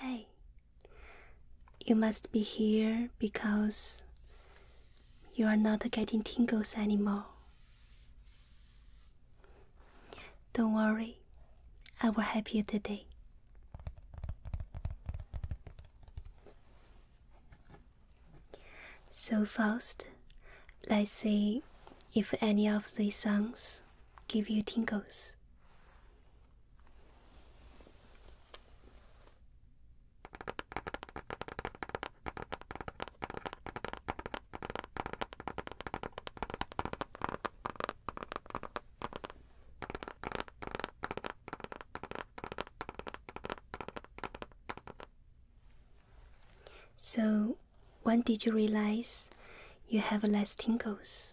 Hey, you must be here because you are not getting tingles anymore. Don't worry, I will help you today. So, first, let's see if any of these songs give you tingles. So, when did you realize you have less tingles?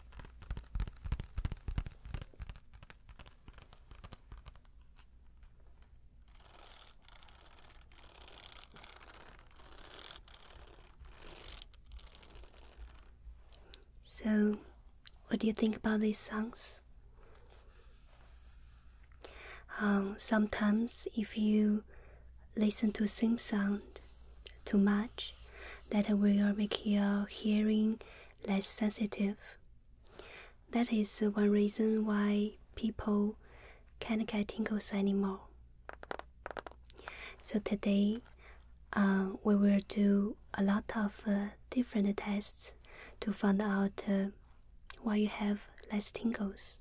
So, what do you think about these songs? Um, sometimes, if you listen to same sound too much that will make your hearing less sensitive. That is one reason why people can't get tingles anymore. So today uh, we will do a lot of uh, different tests to find out uh, why you have less tingles.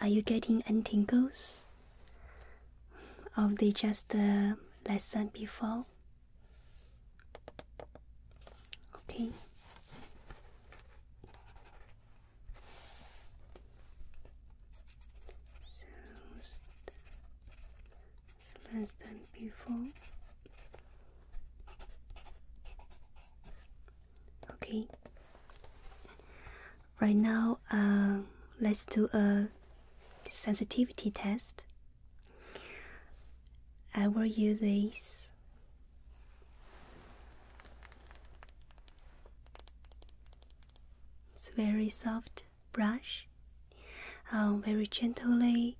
are you getting any tingles? Or they just the uh, lesson before? Okay. So it's less than before. Okay. Right now, um, let's do a sensitivity test. I will use this. very soft brush. Um, very gently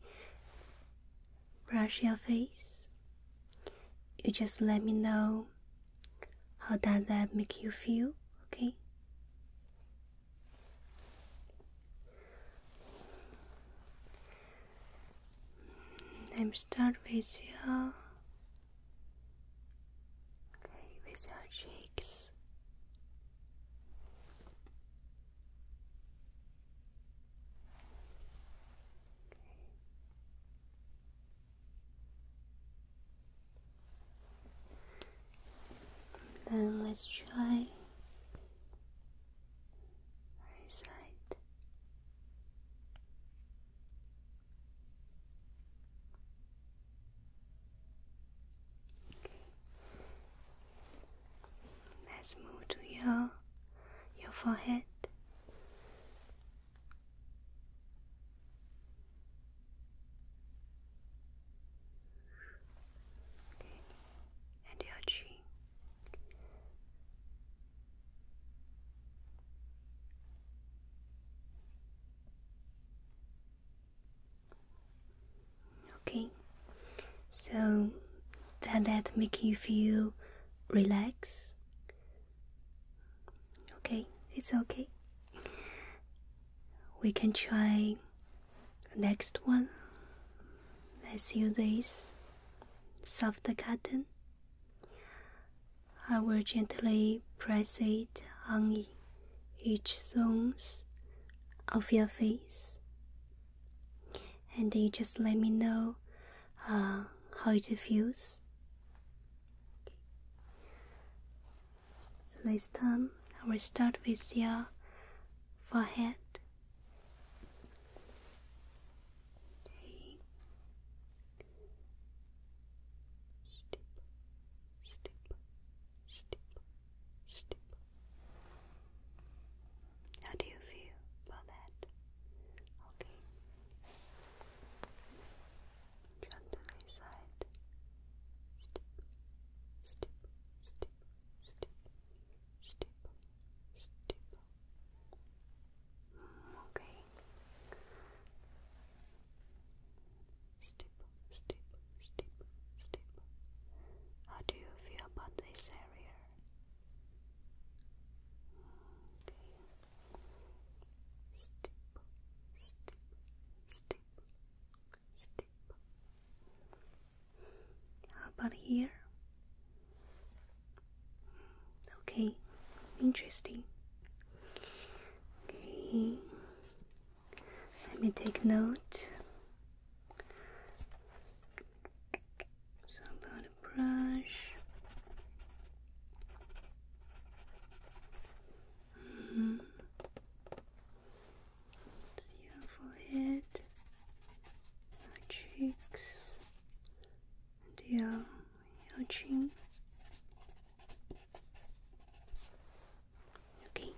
brush your face. You just let me know how does that make you feel? Okay. I'm start with your okay with your cheeks. Then let's try right side. Okay. Let's move to your your forehead and your chin. Okay, so does that make you feel relaxed? Okay, it's okay. We can try next one. Let's use this soft cotton. I will gently press it on each zones of your face, and you just let me know uh, how it feels this time I will start with your forehead. Okay. Step, step, step, How do you feel about that? Okay gently side step, step, step, step, step, step okay step, step, step, step how do you feel about this area? Okay how about here? Okay, interesting. Okay, let me take note. So, about a brush. Your forehead, your cheeks, and your, your chin. Okay.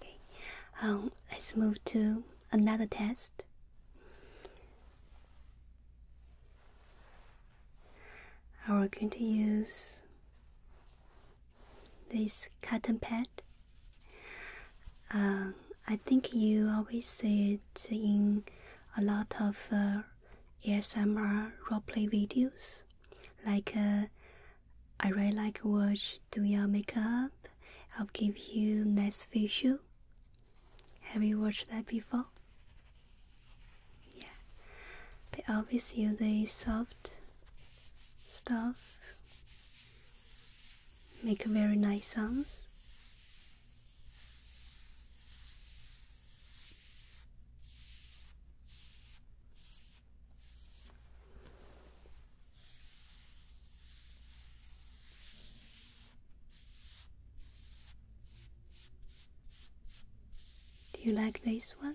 Okay. Um, let's move to another test. I we going to use this cotton pad. Um, I think you always see it in a lot of uh, ASMR roleplay videos. Like, uh, I really like watch do your makeup. I'll give you nice visual have you watched that before? Yeah. They always use a soft stuff. Make very nice sounds. Do you like this one?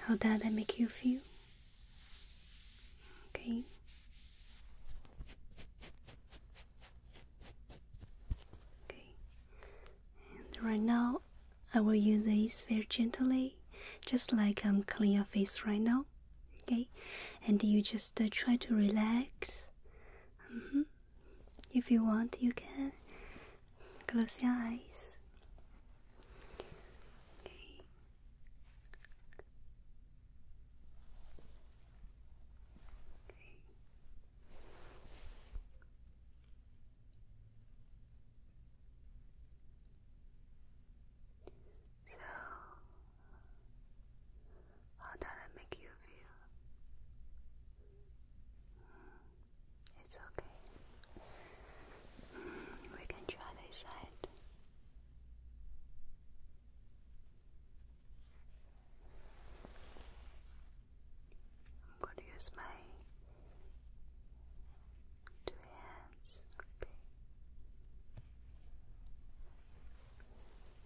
How does that make you feel? Okay. Okay. And right now I will use this very gently, just like I'm cleaning your face right now okay and you just uh, try to relax mm-hmm. if you want you can close your eyes so, how does that make you feel? Mm, it's okay. Mm, we can try this side. I'm going to use my two hands. Okay.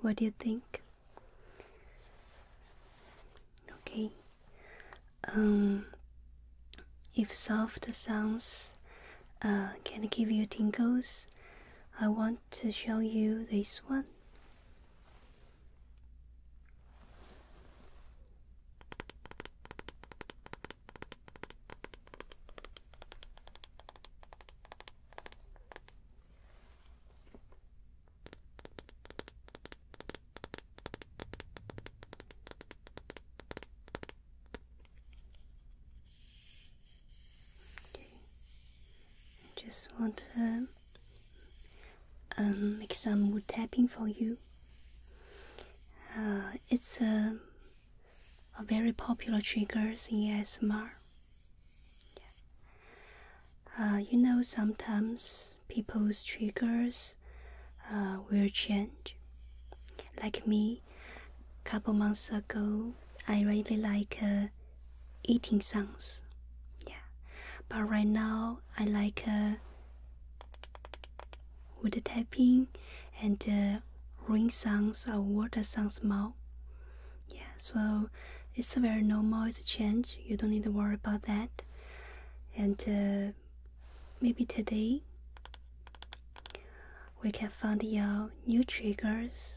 What do you think? Okay. Um, if soft sounds uh, can give you tingles, I want to show you this one. I just want to um, make some wood tapping for you. Uh, it's a are very popular triggers in ASMR. Uh, you know, sometimes people's triggers uh, will change. Like me, a couple months ago, I really like uh, eating sounds. Yeah, but right now I like uh, wood tapping and uh, rain sounds or water sounds more. Yeah, so it's very normal. It's change. You don't need to worry about that. And uh, maybe today we can find your new triggers.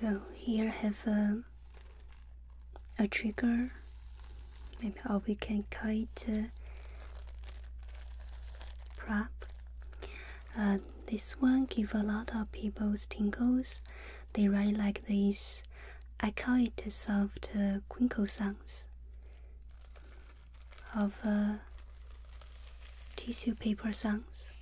So here I have um, a, trigger. Maybe or we can call it prop. Uh, this one give a lot of people's tingles. They write like this. I call it soft uh, quinkle sounds of tissue paper songs.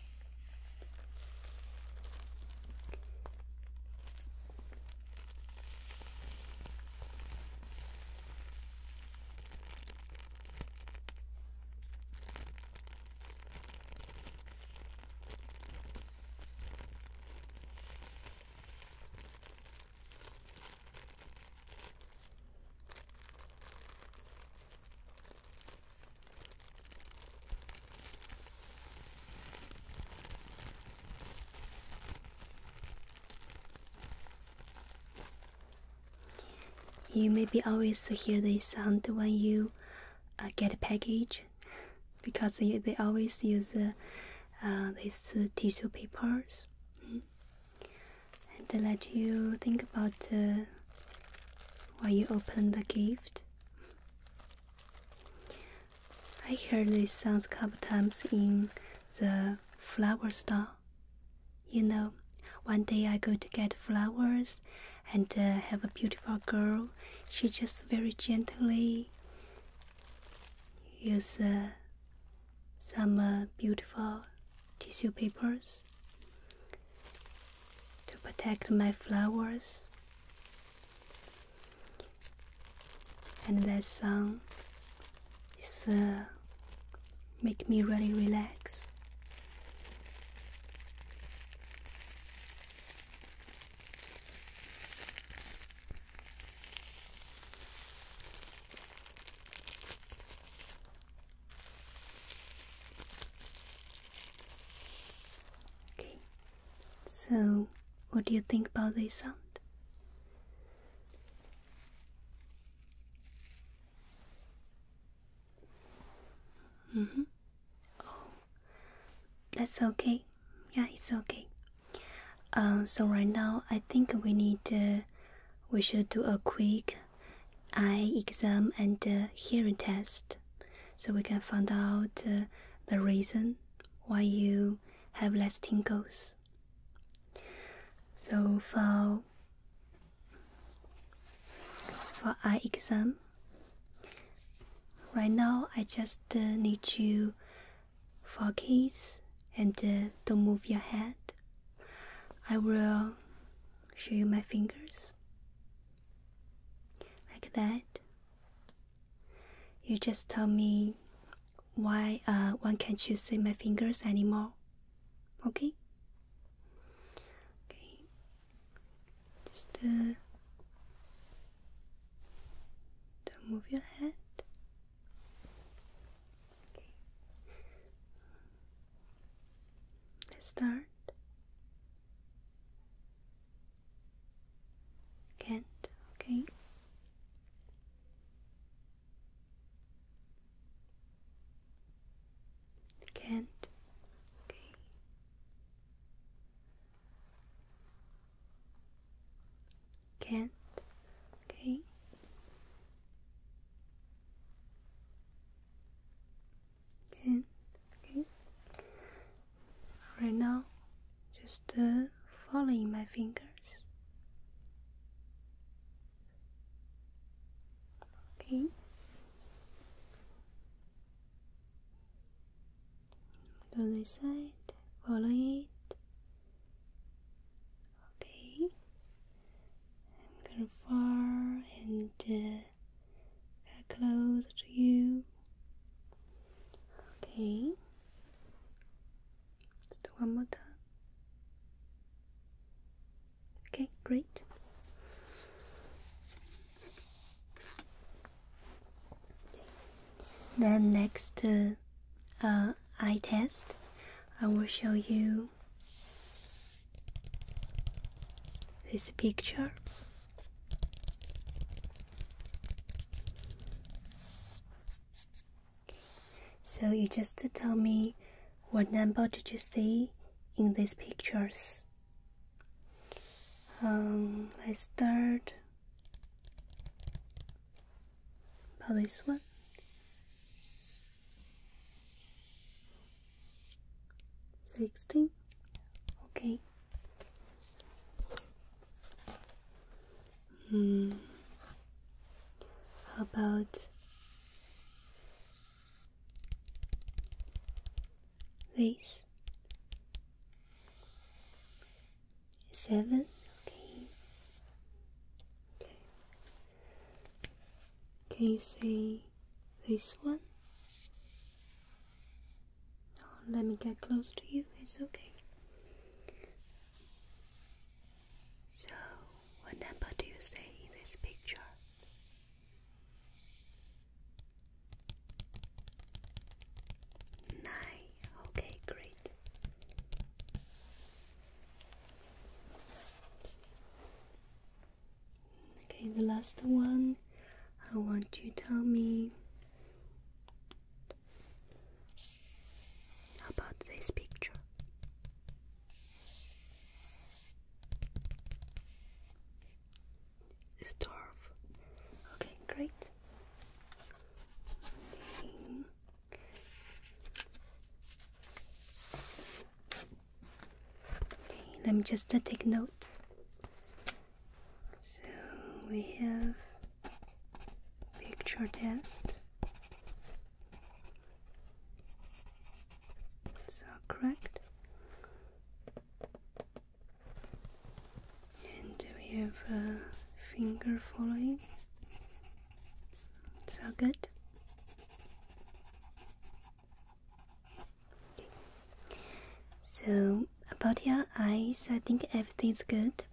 You maybe always hear this sound when you uh, get a package because they, they always use uh, these tissue papers hmm, and they let you think about uh, while you open the gift. I heard this sounds a couple times in the flower store. You know, one day I go to get flowers and uh, have a beautiful girl. She just very gently use uh, some uh, beautiful tissue papers to protect my flowers. And that song is uh, make me really relax. Okay, so what do you think about this sound? Mm hmm Oh, that's okay. Yeah, it's okay. Um, so right now, I think we need, uh, we should do a quick eye exam and uh, hearing test so we can find out uh, the reason why you have less tingles. So for for eye exam, right now I just uh, need you focus and uh, don't move your head. I will show you my fingers. Like that. You just tell me why uh, one can't you see my fingers anymore. Okay? Okay. Just uh, don't move your head. Let's start. Can't, okay? Can't, okay? Can't, okay? Okay, okay. Right now, just uh, following my fingers. Okay. Go this side, follow it. Okay. i far and. Uh, they're close to you. Okay. Just one more time. Okay, great. Then next uh, uh, eye test, I will show you this picture. So you just tell me what number did you see in these pictures? Um, I start About this one. Sixteen. Okay. Hmm. How about this? Seven. Okay. Okay. Can you say this one? Oh, let me get close to you, it's okay. So, what number do you say in this picture? Nine. Okay, great. Okay, the last one. I want you to tell me about this picture. It's Okay, great. Okay, let me just uh, take note. So we have picture test. So correct. And we have a uh, finger following. all good. So, about your eyes, I think everything's good.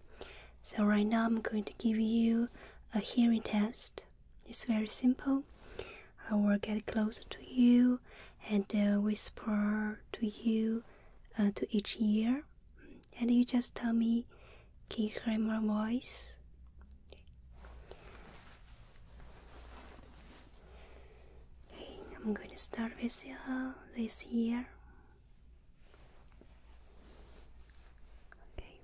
So, right now I'm going to give you a hearing test. It's very simple. I will get close to you and uh, whisper to you, uh, to each ear, and you just tell me, can you hear my voice? Okay, I'm going to start with uh, this year. Okay.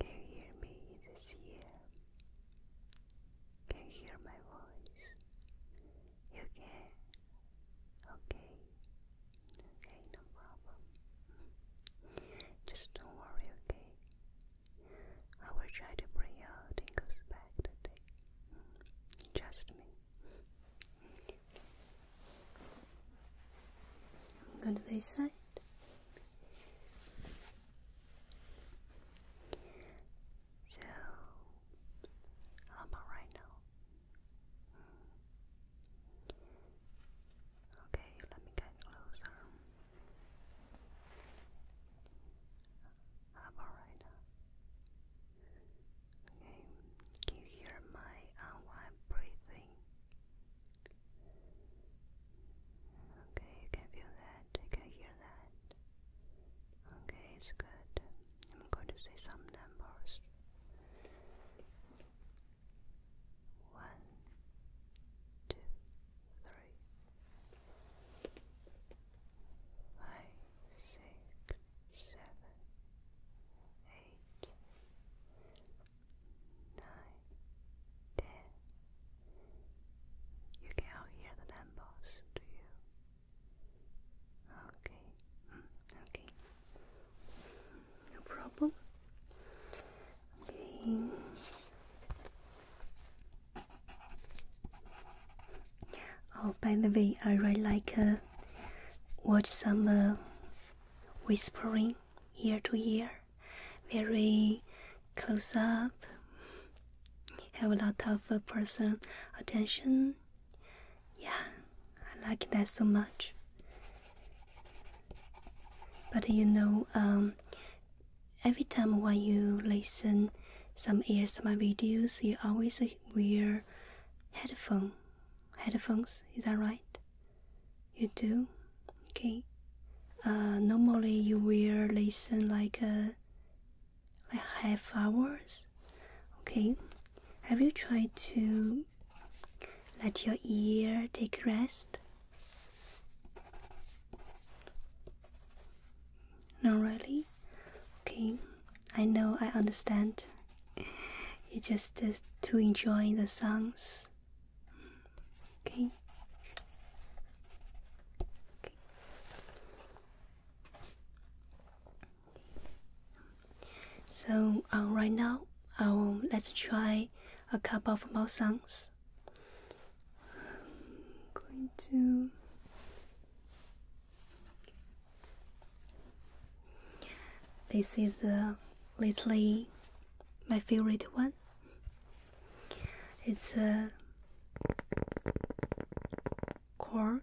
Can you hear me this year? Can you hear my voice? You can? Okay. Okay, no problem. Just don't worry, okay? I will try to bring out Tingle's back today. Trust me. i to this side. So, how about right now? Hmm. Okay, let me get closer. Alright. Okay, can you hear my unwind uh, breathing? Okay, you can feel that, you can hear that. Okay, it's good. I'm going to say some numbers. One, two, three, five, six, seven, eight, nine, ten. You cannot hear the numbers, do you? Okay, mm, okay, no problem. Oh, by the way, I really like uh, watch some uh, whispering ear to ear, very close up. Have a lot of uh, personal attention. Yeah, I like that so much. But you know, um, every time when you listen some ears, some videos, you always wear headphone. Headphones, is that right? You do? Okay. Uh, normally you will listen like a uh, like half hours. Okay. Have you tried to let your ear take rest not really? Okay, I know, I understand. You just just to enjoy the songs. Okay. So uh, right now, um, let's try a couple of more songs. I'm going to this is uh, lately my favorite one. It's a cork.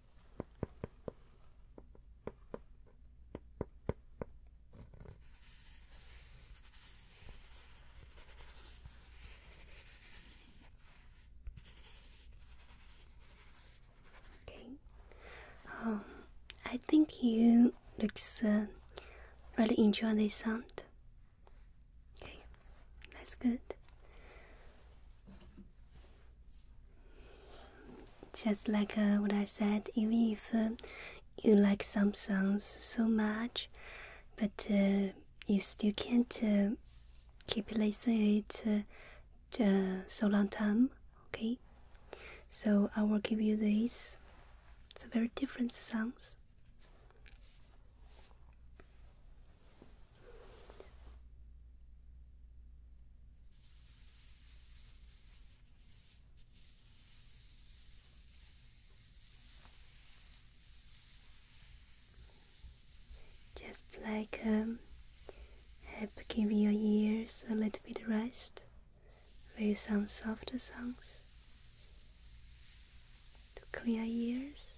Okay. Um, I think you looks really enjoy this sound. Okay, that's good. Just like uh, what I said, even if uh, you like some songs so much, but uh, you still can't keep listening it uh, so long time, okay? So I will give you these. It's a very different songs. Just like um, help give your ears a little bit rest with some softer songs to clear ears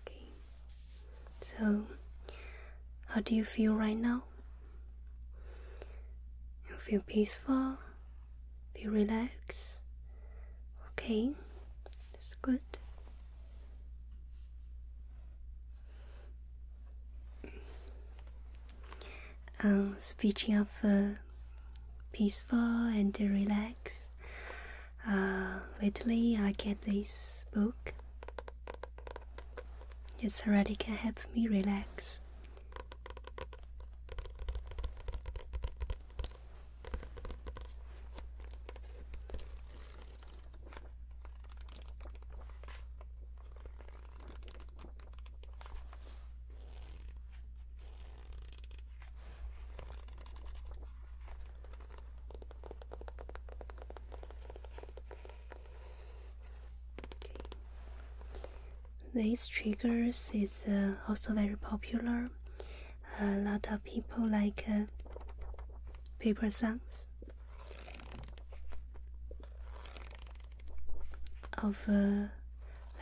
Okay. So, how do you feel right now? You feel peaceful? Feel relaxed? Okay, that's good. Um, speaking of uh, peaceful and relaxed. Uh, lately, I get this book. It really can help me relax. These triggers is uh, also very popular. A lot of people like uh, paper sounds of, uh,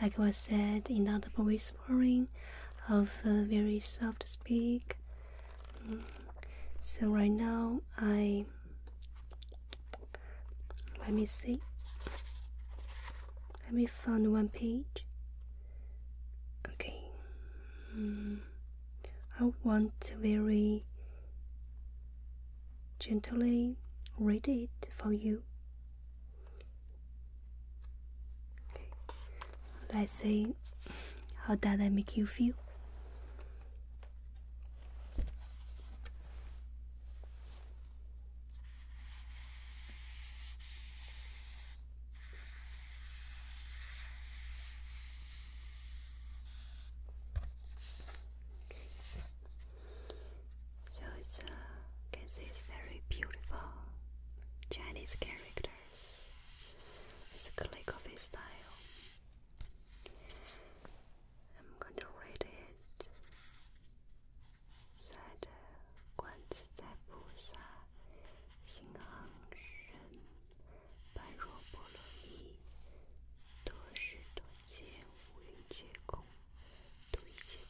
like I said in other voice whispering of very soft speak. So right now I let me see. Let me find one page. Okay. Hmm. I want to very gently read it for you. Okay. Let's say, how does that make you feel? So it's uh, it's very beautiful Chinese characters. It's a calligraphy style. I'm going to read it. Said uh, Guan Zai Bu Sa Xing Shen Ban Ruo Bo Lo Wu Yun Jie Gong Du Yi Jie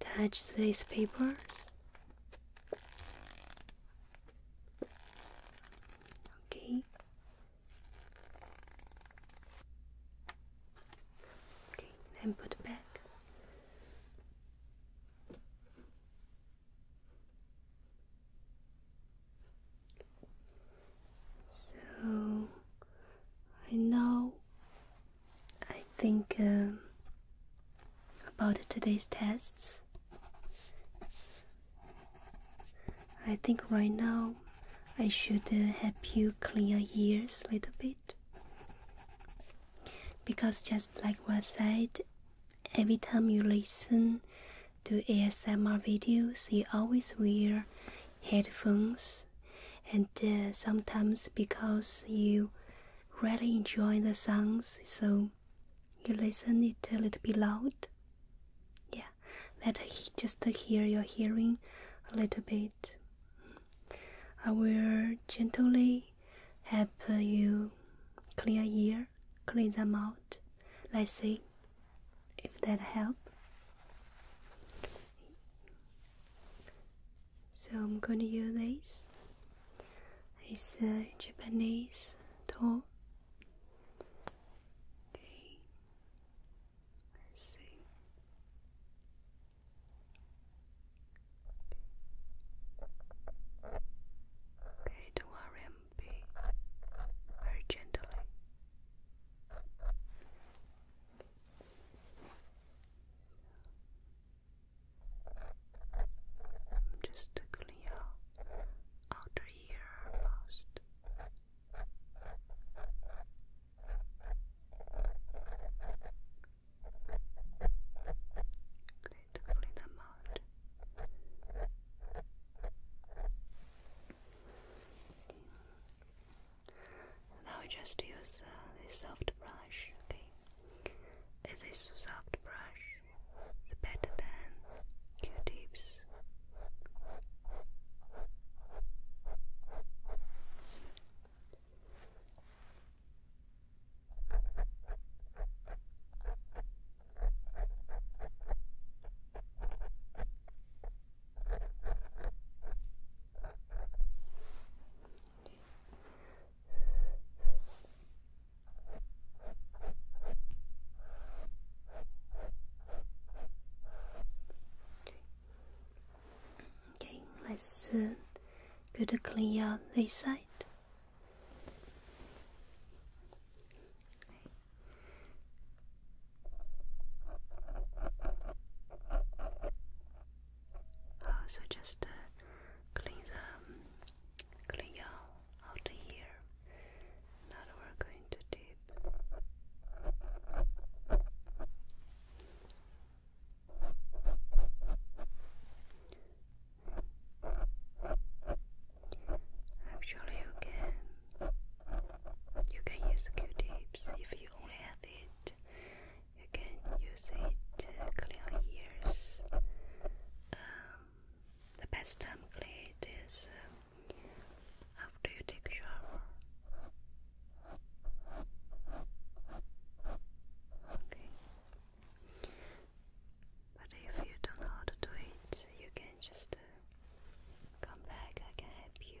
touch these papers. Okay. Okay, then put back. So I know I think um, about today's tests. I think right now I should uh, help you clear ears a little bit. Because just like what said, every time you listen to ASMR videos, you always wear headphones and uh, sometimes because you really enjoy the songs, so you listen it a little bit loud. Yeah, that just hear your hearing a little bit. I will gently help you clear ear, clean them out. Let's see if that help. So I'm going to use this. It's a Japanese tool. Okay. Let's see. Okay, don't worry, i very gently just to clear outer ear first. Okay, to clean them out. Now we just use uh, a soft brush, okay? this soft brush the better than Q-tips? Okay, let's uh, go to clean out this side so just uh, clean the clean out here. Now we're going to dip. Actually, you you can use Q-tips if you only have it you can use it to uh, clean your ears. Um, the best time to clean it is uh, after you take a shower. Okay. But if you don't know how to do it, you can just uh, come back. I can help you.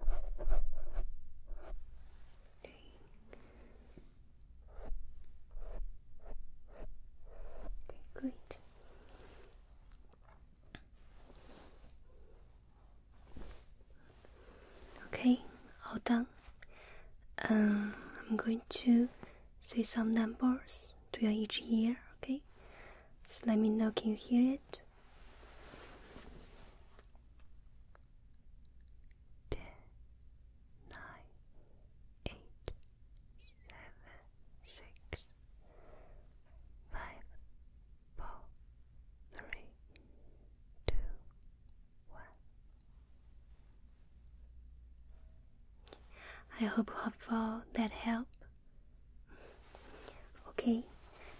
Okay. Okay, great. Okay, all done. Um, I'm going to say some numbers to your each ear, okay? Just let me know, can you hear it? ten, nine, eight, seven, six, five, four, three, two, one. I hope, you hope that help. Okay,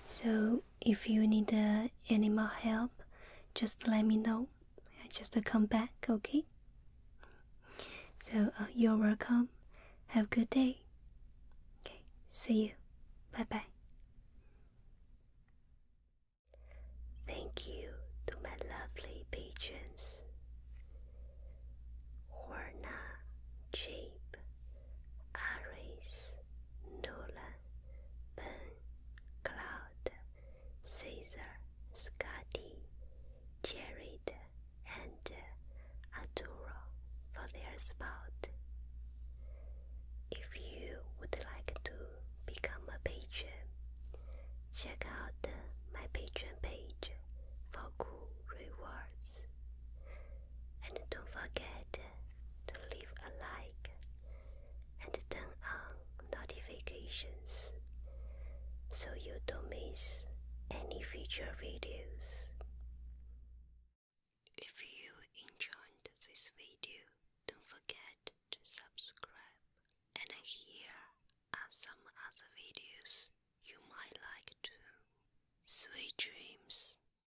so if you need uh, any more help, just let me know. I just come back, okay? So uh, you're welcome. Have a good day. Okay, see you. Bye bye. Thank you to my lovely patrons Horna, Jabe, Aris, Nola. Ben, Cloud, Caesar, Scotty, Jared, and Arturo for their spot. If you would like to become a patron, check out my Patreon page for cool rewards. And don't forget to leave a like and turn on notifications so you don't miss any future videos. If you enjoyed this video, don't forget to subscribe. And here are some other videos you might like too. Sweet dreams.